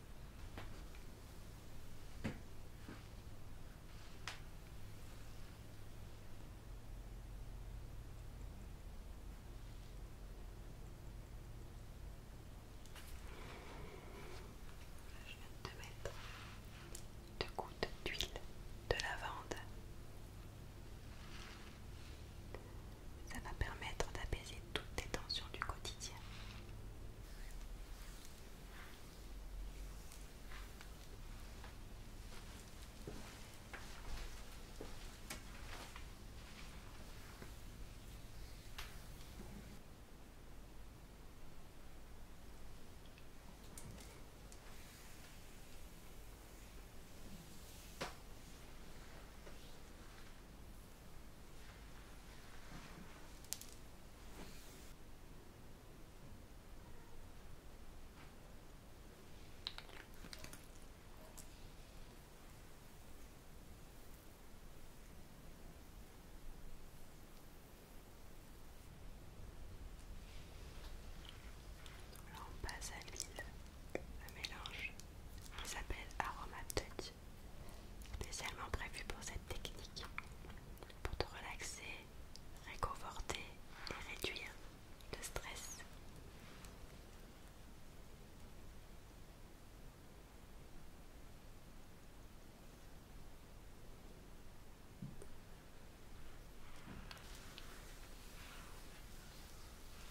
Je viens de te mettre deux gouttes d'huile de lavande. Ça va permettre d'apaiser toutes tensions du quotidien. Alors on passe à l'huile, un mélange qui s'appelle Aroma Spécialement prévu pour cette technique, pour te relaxer, réconforter et réduire le stress.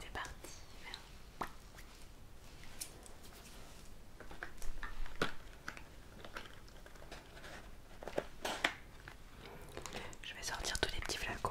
C'est parti. Je vais sortir tous les petits flacons.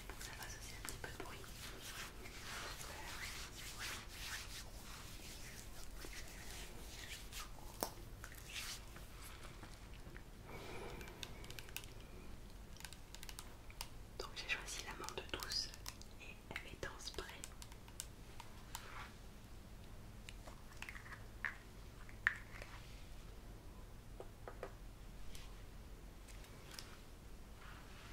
c'est ça va aussi un petit peu de bruit. Donc j'ai choisi la main de douce et elle est en spray.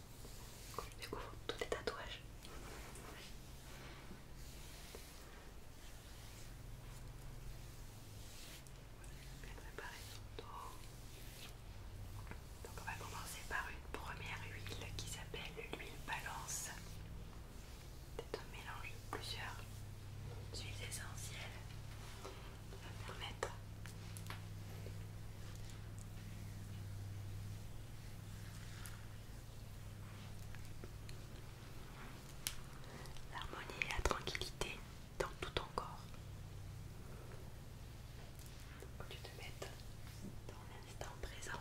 Du je découvre tous les tatouages. Donc on va commencer par une première huile qui s'appelle l'huile balance. C'est un mélange de plusieurs huiles essentielles permettre L'harmonie et la tranquillité dans tout ton corps. tu te mets dans l'instant présent.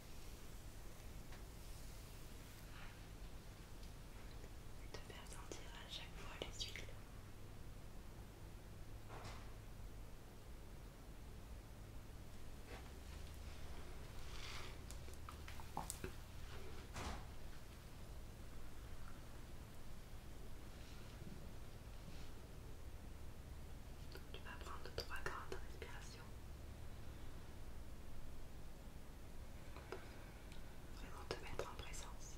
de faire sentir à chaque fois les huiles. Tu vas prendre trois grandes respirations. Vraiment te mettre en présence.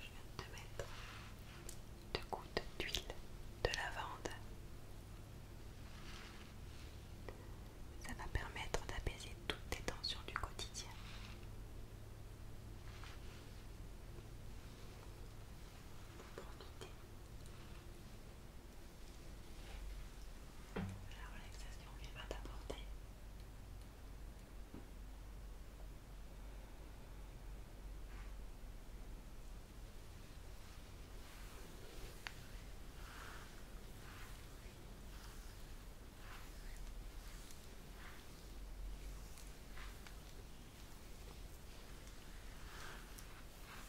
Je viens de te mettre deux gouttes d'huile de lavande. Ça va permettre d'apaiser toutes tes tensions du quotidien. La relaxation qu'il va t'apporter.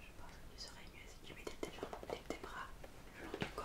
Je pense que tu serais mieux si tu mettais tes jambes tes bras, le long du corps.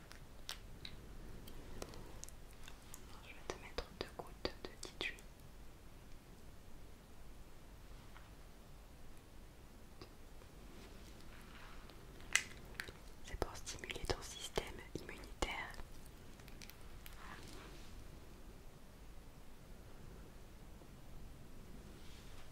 Je vais te mettre deux gouttes de titui. C'est pour stimuler ton système immunitaire.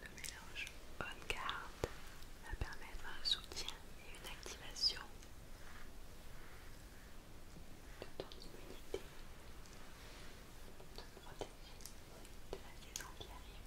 Le mélange On Guard va permettre un soutien et une activation de ton immunité, de te protéger de la saison qui arrive.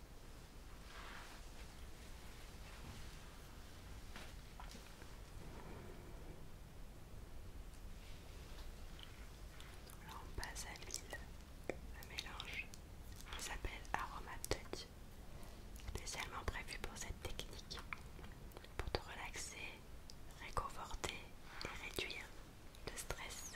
Là on passe à l'huile, mélange qui s'appelle Aroma Touch, spécialement prévu pour cette technique, pour te relaxer, réconforter et réduire le stress.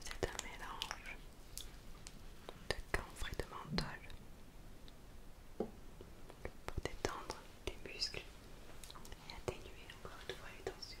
c'est un mélange de camphre et de menthol pour détendre les muscles et atténuer encore une fois les tensions.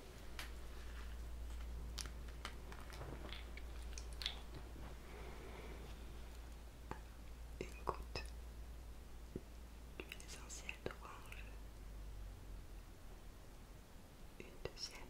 Une goutte d'huile essentielle d'orange. Une deuxième.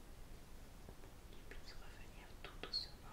qu'il puisse revenir tout doucement. Voilà.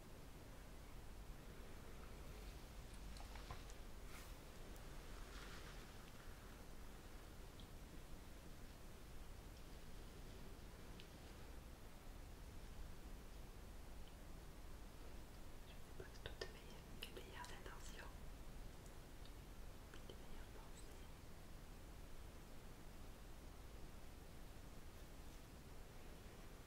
Je vous souhaite toutes mes meilleures intentions, les meilleures pensées.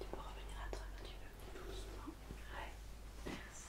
Tu peux revenir à toi quand tu veux. Doucement. Merci.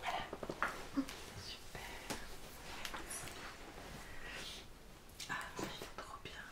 Voilà, super. Ah, c'est trop bien.